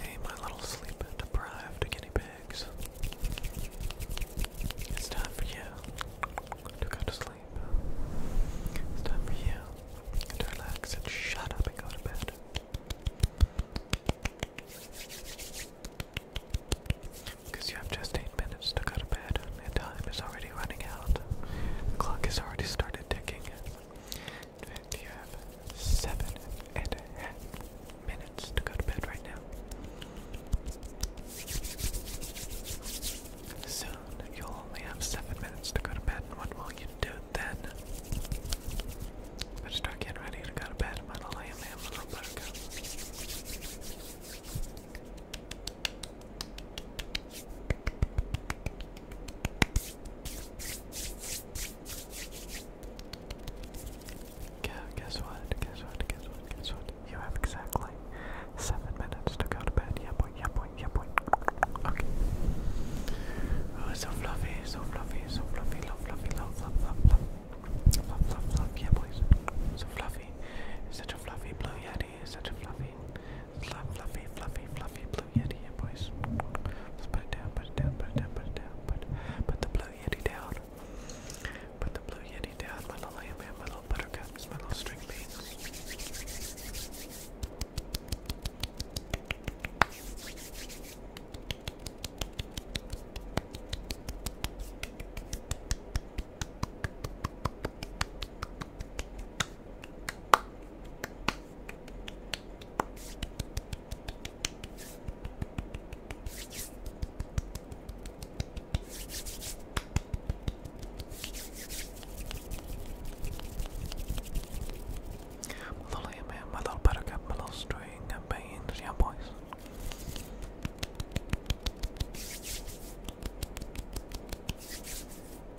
Hey, my little sleep deprived guinea pigs. It's time for you to go to sleep. time for you to relax and shut up and go to bed. Because you have just eight minutes to go to bed, and time is already running out. The clock has already started ticking fact, you have seven and a half minutes to go to bed right now. Soon, you'll only have seven minutes to go to bed, what will you do then? I start getting ready to go to bed. I'm lay me a little bit Guess what? Guess what? Guess what? Guess what? You have exactly seven minutes to go to bed. Yeah, boy. Yeah, boy. Yeah, boy. Okay. Oh, so fluffy. So fluffy. So fluffy. Love, fluffy. Love, love, love, love. Love, Yeah, boys. So fluffy. Such a fluffy blue yeti. Such a fluffy. fluffy, fluffy, fluffy, blue yeti in, boys. Let's put it down, put it down, put it down, put it down. Put, the blue yeti down. Put the blue yeti down, my little lamb, my little buttercups, my little string beans. My little man, my little buttercup, my little string of beans, yeah boys.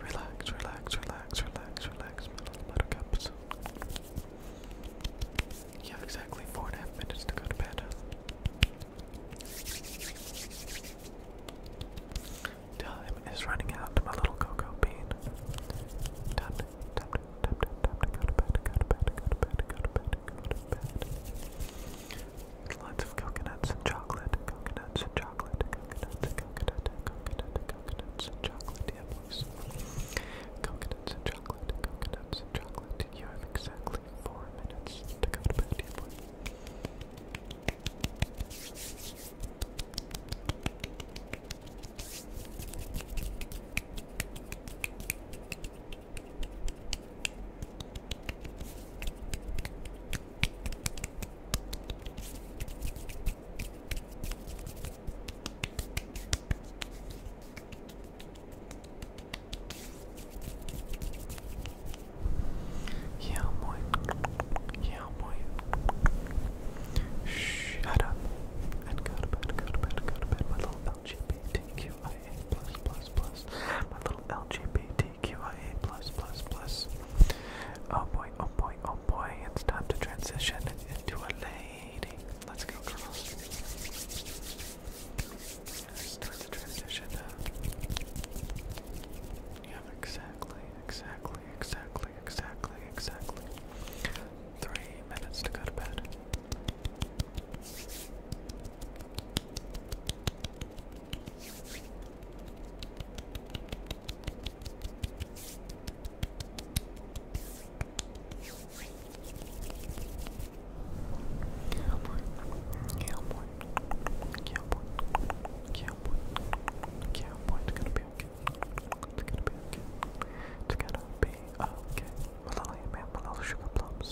Relax, relax, relax, relax, relax, my little buttercups. You have exactly four and a half minutes to go to bed. Time is running out, my little cocoa bean. Time to, time to, time go to bed, go to bed, go to bed, go to bed, go to bed. Lots of coconuts and chocolate, coconuts and chocolate, coconuts and coconut, coconut, coconuts and chocolate, yeah boys. Coconuts and chocolate, coconuts and chocolate. You have exactly four minutes to go to bed, yeah, boy. Yeah, boy. Shut up and go to bed, go to bed, go to bed. My little LGBTQIA plus plus plus. My little LGBT TQIA plus plus plus. Oh boy, oh boy, oh boy, it's time to transition into a lady. Let's go girls. Start the transition. Uh, yeah, exactly, exactly, exactly, exactly, exactly. Three minutes to go to bed. Cowboy, cowboy, cowboy, cowboy, cowboy. It's gonna be okay. It's gonna be okay. It's gonna be okay. With all your man, with all the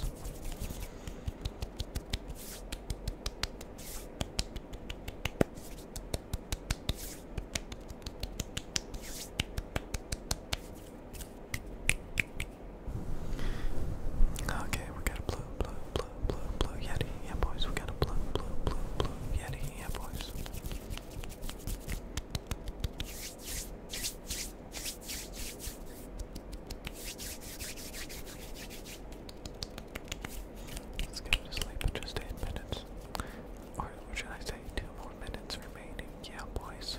Okay, we got a blue, blue, blue, blue, blue yeti. Yeah, boys, we got a blue, blue, blue, blue yeti. Yeah, boys. Let's go to sleep in just 8 minutes. Or should I say 2 more minutes remaining? Yeah, boys.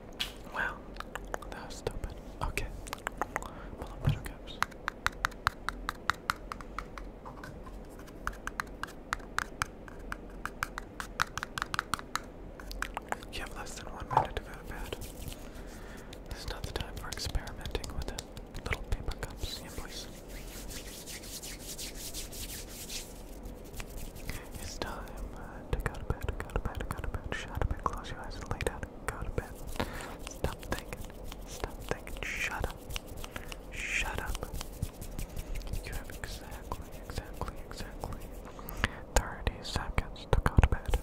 Wow, that was stupid. Okay, pull up better caps. have less than one minute to go to This is not the time for experimenting with little paper cups. Yeah, boys. It's time uh, to go to bed, go to bed, go to bed, shut up close your eyes and lay down go to bed. Stop thinking, stop thinking, shut up, shut up. exactly, exactly, exactly 30 seconds to go to bed.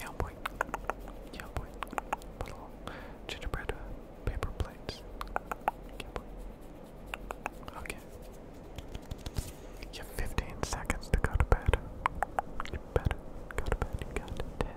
Yeah, boy. Yeah, boy. Little gingerbread paper plates. Okay. You 15 seconds to go to bed. You better go to bed. You got 10,